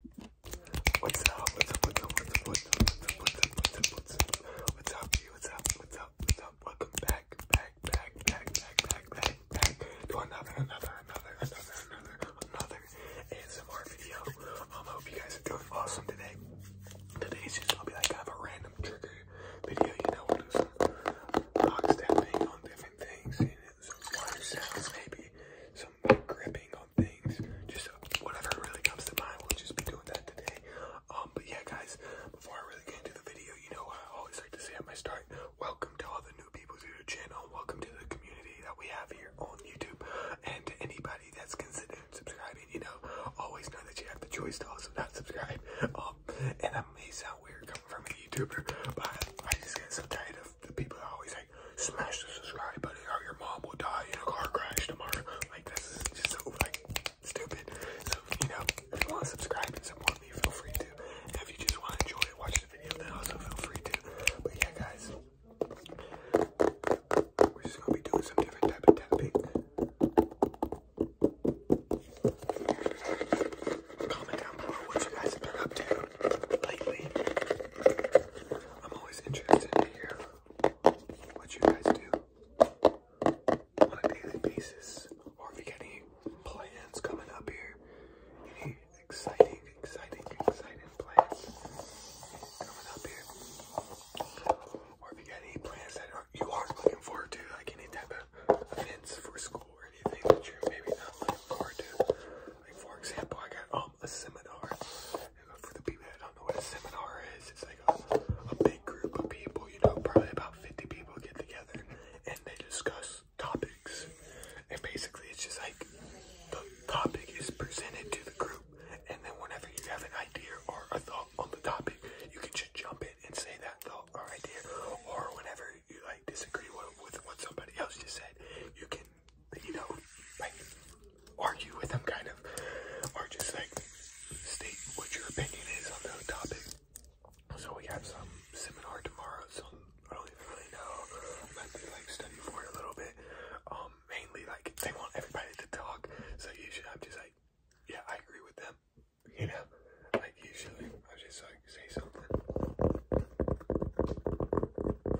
What's up? What's up? What's up? What's up? What's up? What's up? What's up? What's up? What's up? What's up? What's up? What's up? Welcome back, back, back, back, back, back, back, back to another, another, another, another, another, another ASMR video. Um, I hope you guys are doing awesome today. Today's just gonna be like kind of a random trigger video, you know, we'll do some box tapping on different things, and some water sounds, maybe some gripping on just uh, whatever really comes to mind, we'll just be doing that today. Um, but yeah, guys, before I really get into the video, you know, I always like to say at my start, welcome to all the new people to the channel, welcome to the community that we have here on YouTube, and to anybody that's considering subscribing, you know, always know that you have the choice to also not subscribe. Um, and that may sound weird coming from a YouTuber, but I just get so tired of the people that always like smash the subscribe button or your mom will die in a car crash tomorrow. Like this is just so like stupid. So you know, if you want to subscribe and support me, feel free to. if you just want to enjoy it, watch the video, then also feel free to. But yeah, guys, we're just gonna be doing some different type of tapping. Comment down below what you guys have been up to lately. I'm always interested to hear what you guys do on a daily basis, or if you got any plans coming up here, any exciting, exciting, exciting plans coming up here, or if you got any plans that you are looking forward to, like any type of events for school or anything that you're maybe not looking forward to. Like for example, I got all oh, um, a seminar. For the people that don't know what a seminar is, it's like a, a big group of people, you know, probably about 50 people get together and they discuss topics. And basically, it's just like the topic is presented to the group, and then whenever you have an idea or a thought on the topic, you can just jump in and say that thought or idea, or whenever you like disagree with what somebody else just said, you can you know, like argue with them kind of, or just like state what your opinion is on the topic. So we have some seminar tomorrow, so I don't even really know. I'm to like study for it a little bit. Um, mainly like they want everybody to talk, so usually I'm just like, yeah, I agree with them. You know, like usually I just like say something.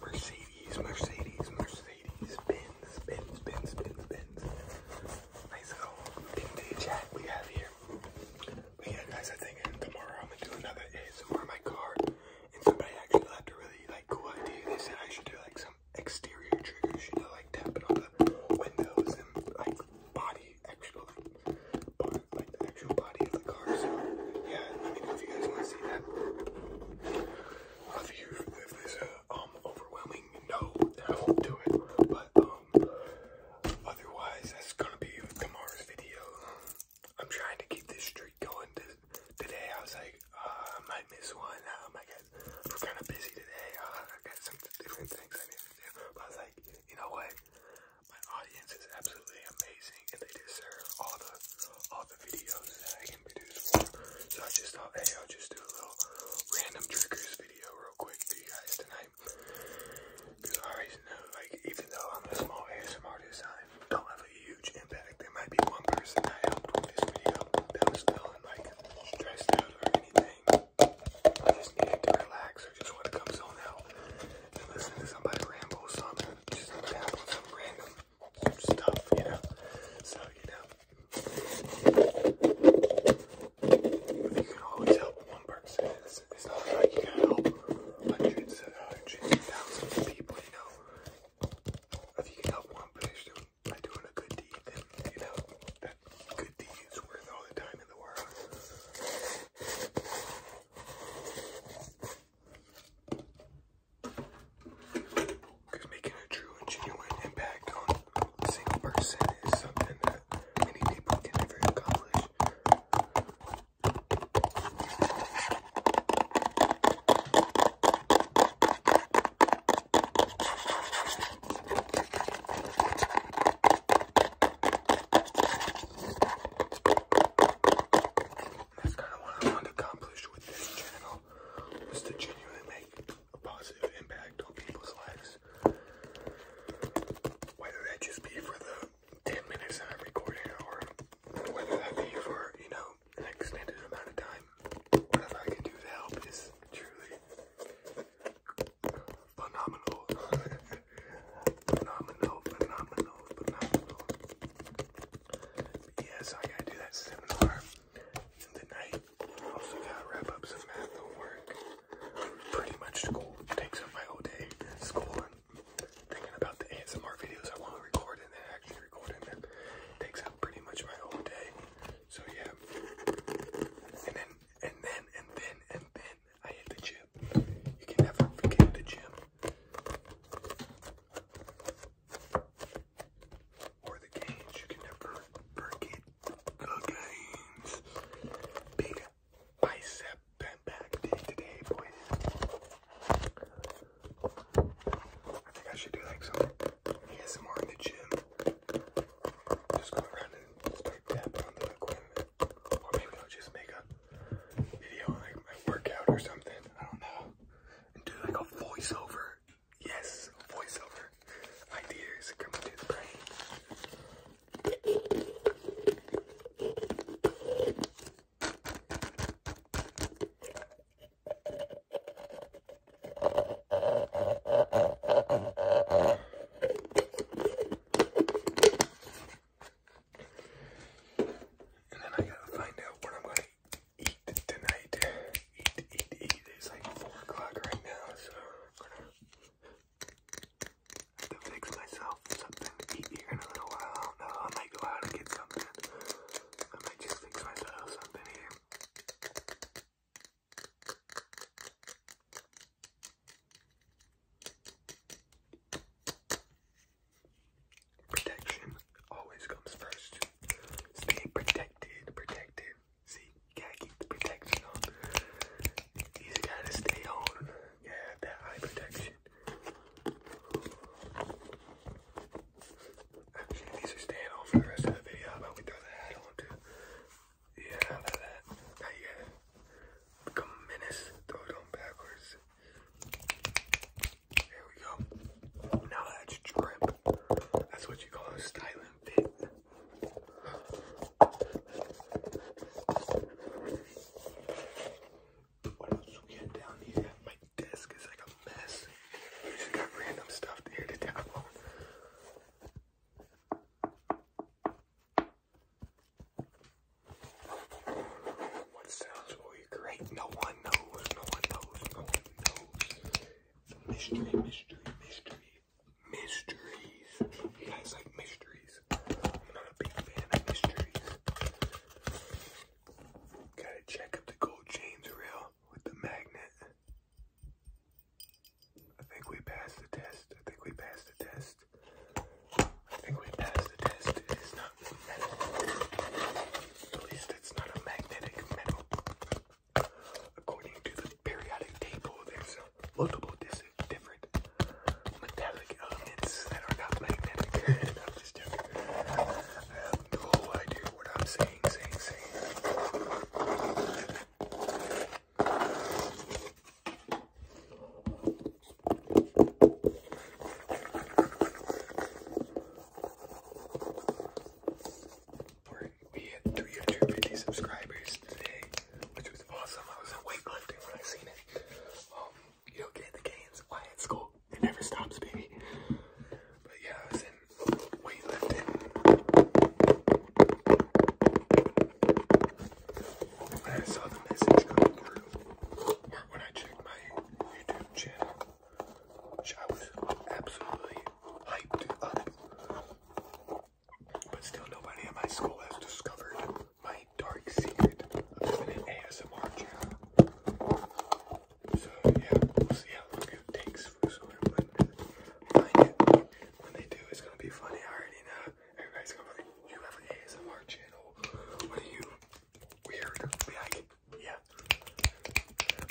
Mercedes, Mercedes, Mercedes, Benz, Benz, Benz, Benz, Benz. Nice little vintage hat we have here. But yeah, guys, I think tomorrow I'm gonna do another ASMR in my car. And somebody actually left a really like cool idea. They said I should do like some exterior triggers, you know, like tapping on the windows and like body actual like, actual body of the car. yeah, let me know if you guys want to see that. If, if there's a um overwhelming no, then I won't do it. But um, otherwise that's gonna be tomorrow's video. I'm trying to keep this streak going. Today I was like, uh, I might miss one. Um, I get. we're kind of busy today. Uh, I got some different things but I like, you know what? My audience is absolutely amazing, and they deserve all the all the videos that I can produce So I just thought, hey, I'll just do a little random triggers video real quick for you guys tonight. Because I already know, like, even though I'm a small ASMR artist, don't have a huge impact. There might be one person I helped with this video that was feeling like stressed out or anything. I just needed to relax or just want to come zone out and listen to somebody ramble, so gonna just tap some random stuff, you know. So you know, you can always help one person, it's, not like you can help hundreds hundreds thousands of people, you know. If you can help one person by doing a good deed deed, you Because making a true and genuine impact on a single person is something that many people can never accomplish. That's kind of what I want to accomplish with this channel, was to genuinely make a positive impact on people's lives. Whether that just be for the 10 minutes I'm recording, or whether that be for, you know, an extended amount of time. Whatever I can do to help is truly phenomenal, phenomenal, phenomenal, phenomenal. yes, I gotta do that seminar in Also gotta wrap up some math homework. Pretty much school takes up my whole day. School and thinking about the ASMR videos I want to record and then actually recording them takes up pretty much my whole day. So yeah, and then and then, and then, and then I hit the gym. You can never forget the gym. Or the games. You can never forget the games. Big bicep bent back day today, boys. I think I should do like some ASMR in the gym just go around and start tapping on the equipment. Or maybe I'll just make a video like my workout or something. I don't know. And do like a voiceover. Yes, voiceover. Ideas coming to the brain. And then I gotta find out what I'm gonna eat tonight. It's like 4 o'clock right now, so I'm gonna have to fix myself something to eat here in a little while. I don't know. I might go out and get something. I might just fix myself something here. Protection always comes first. Stay protected, protected. See, you gotta keep the protection on. You gotta stay on. Yeah, gotta that eye protection. Actually, these are staying on for the rest of the video. How about we throw the hat on too? Yeah, like that. Not yet. Uh, become a menace. Throw it backwards. There we go. Now that's drip. That's what you call a styling fit. What else we get down here? My desk is like a mess. We just got random stuff here to download. What sounds will you create? No one knows, no one knows, no one knows. mystery, mystery, mystery, mysteries. You guys like mysteries? I'm not a big fan of mysteries. Gotta check if the gold chains are with the magnet. I think we passed the test. I think we passed the test. I think we passed the test. It is not metal. At least it's not a magnetic metal. According to the periodic table, there's multiple different metallic elements that are not magnetic. i have no idea what I'm saying, saying, saying. We hit three subscribers today, which was awesome. I was on weightlifting when I seen it. Um, you get the gains, why at school. It never stops, baby. But yeah, I was in I saw the message come through, when I checked my YouTube channel, I was absolutely hyped up. But still, nobody at my school has discovered my dark secret of having an ASMR channel. So, yeah, we'll see how long takes but When they do, it's gonna be funny. I already know. Everybody's gonna be like, you have an ASMR channel. What you? Weird. yeah.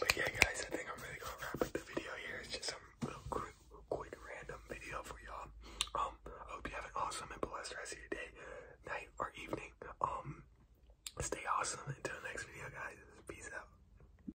But yeah, guys, I think I'm really gonna wrap up the video here. It's just some little quick, quick random video for y'all. Um, I hope you have an awesome and blessed rest of your day, night, or evening. Um, stay awesome. Until next video, guys. Peace out.